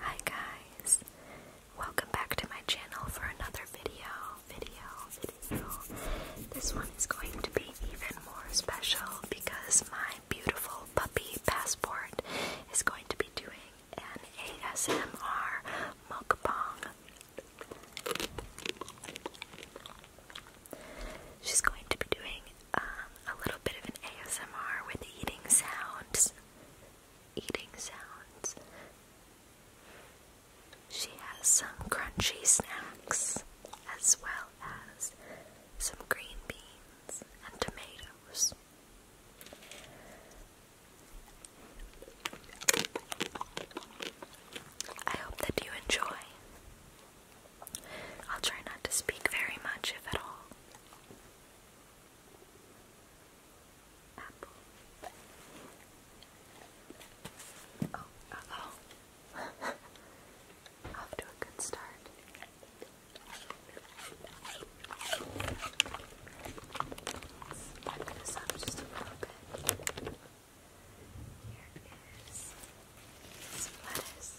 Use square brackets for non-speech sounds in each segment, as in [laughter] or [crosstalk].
Hi guys, welcome back to my channel for another video, video, This one is going to be even more special because my beautiful puppy passport is going to be doing an ASMR mukbang. She's going to be doing um, a little bit of an ASMR with eating sounds. Eating sounds. She has some crunchy snacks as well as some green beans and tomatoes. I hope that you enjoy. I'll try not to speak very much, if at all. Apple. [laughs] Oh, uh oh. [laughs] Off to a good start. Let's up just a little bit. Here is some lettuce.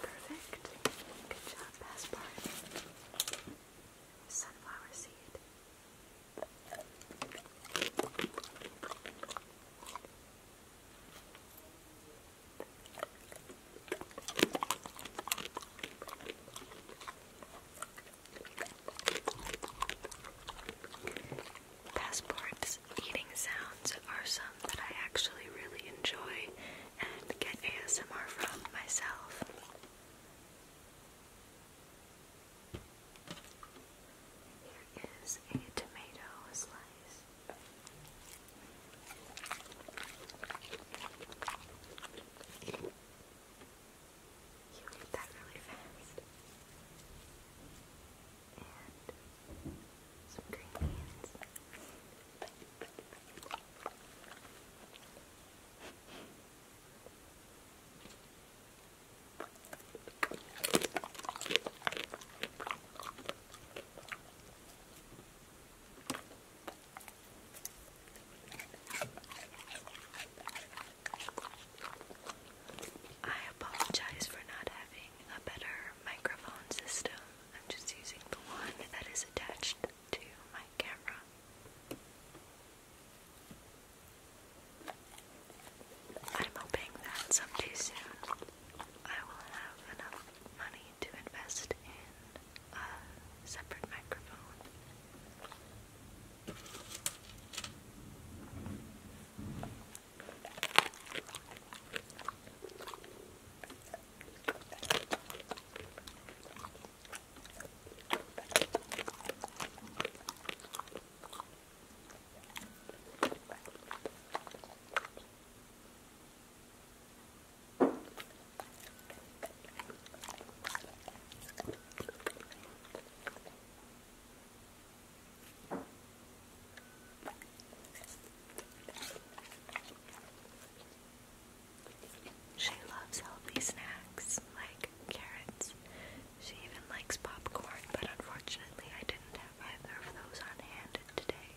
Perfect. Good job, last part. Sunflower seed. Passport's eating sounds are some that I actually really enjoy and get ASMR from myself. Here is a tomato slice. You did that really fast. And some green beans. I apologize for not having a better microphone system. I'm just using the one that is attached to my camera. I'm hoping that someday soon I will have enough money to invest in a separate microphone. She loves healthy snacks like carrots. She even likes popcorn, but unfortunately, I didn't have either of those on hand today.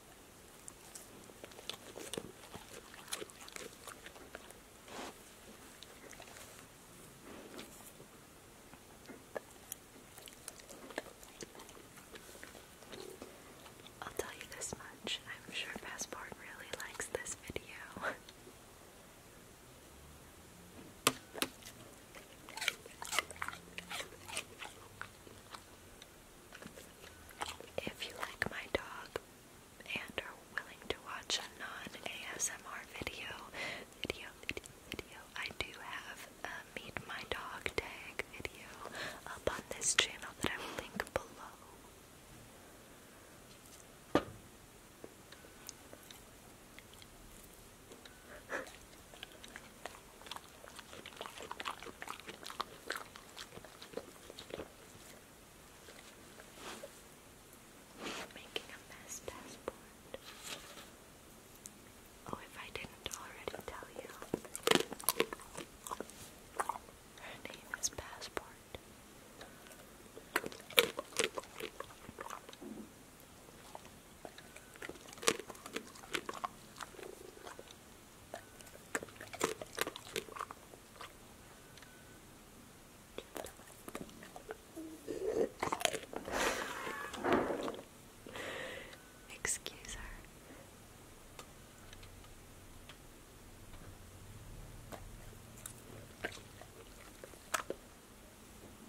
I'll tell you this much, I'm sure Passport really likes this video. [laughs] If you like my dog and are willing to watch a non-ASMR video, video, video, I do have a Meet My Dog tag video up on this channel that I will link below. Making a mess passport. Oh, if I didn't already tell you, her name is Passport. Excuse her.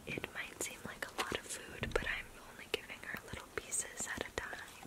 It might seem like a lot of food, but I'm only giving her little pieces at a time.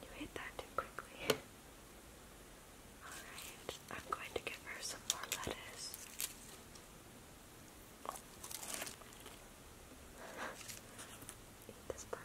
You ate that too quickly. [laughs] Alright, I'm going to give her some more lettuce. [laughs] Eat this part.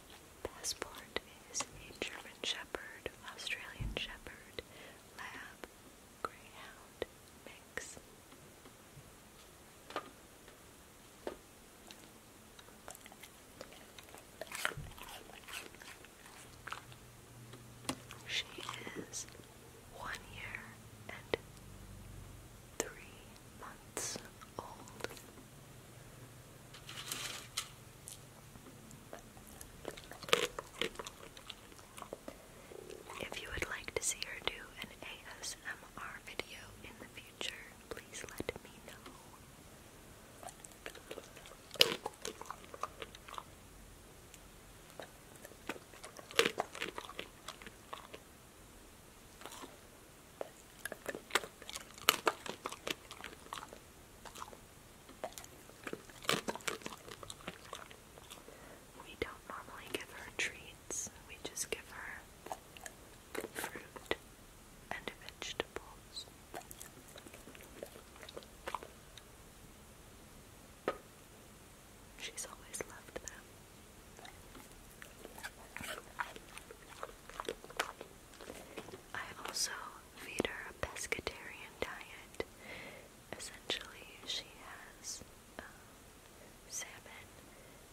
Passport is a German Shepherd, Australian Shepherd, Lab, Greyhound mix. She is one year and three months old. If you would like to see her do an ASMR video in the future, please let me know. We don't normally give her treats, we just give her fruit and vegetables. She's always loved them. I also feed her a pescatarian diet. Essentially, she has um, salmon,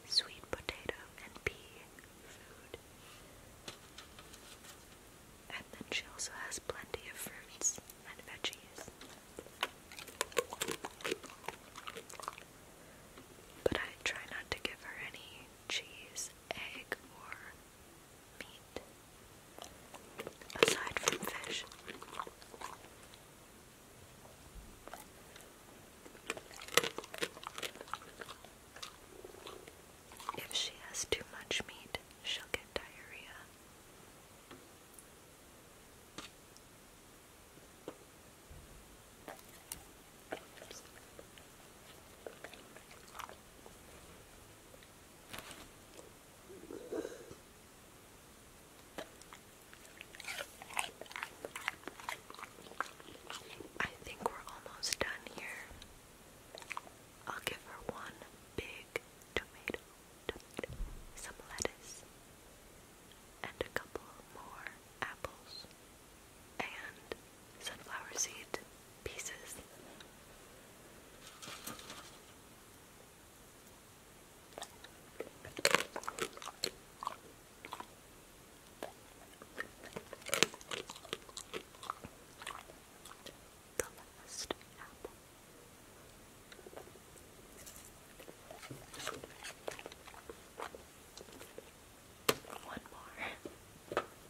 sweet potato, and pea food. And then she also has plenty of fruits and veggies. But I try not to give her any cheese, egg, or meat aside from fish. If she has too much meat, she'll get diarrhea. I think we're almost done here. I'll give her one big tomato, some lettuce, and a couple more apples and sunflower seed pieces. The last apple. One more.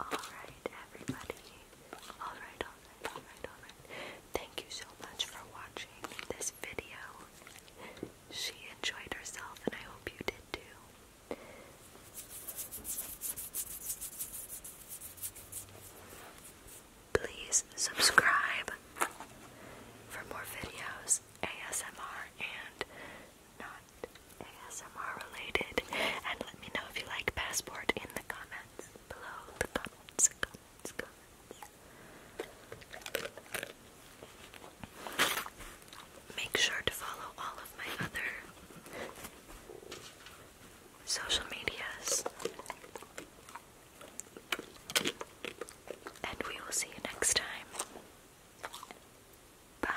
All right, everybody, Alright, alright, alright, alright. Thank you so much for watching this video. She enjoyed herself, and I hope you did too. Please subscribe for more videos, ASMR and not ASMR related. And let me know if you like Passport in the comments below Make sure to follow all of my other social medias. And we will see you next time. Bye.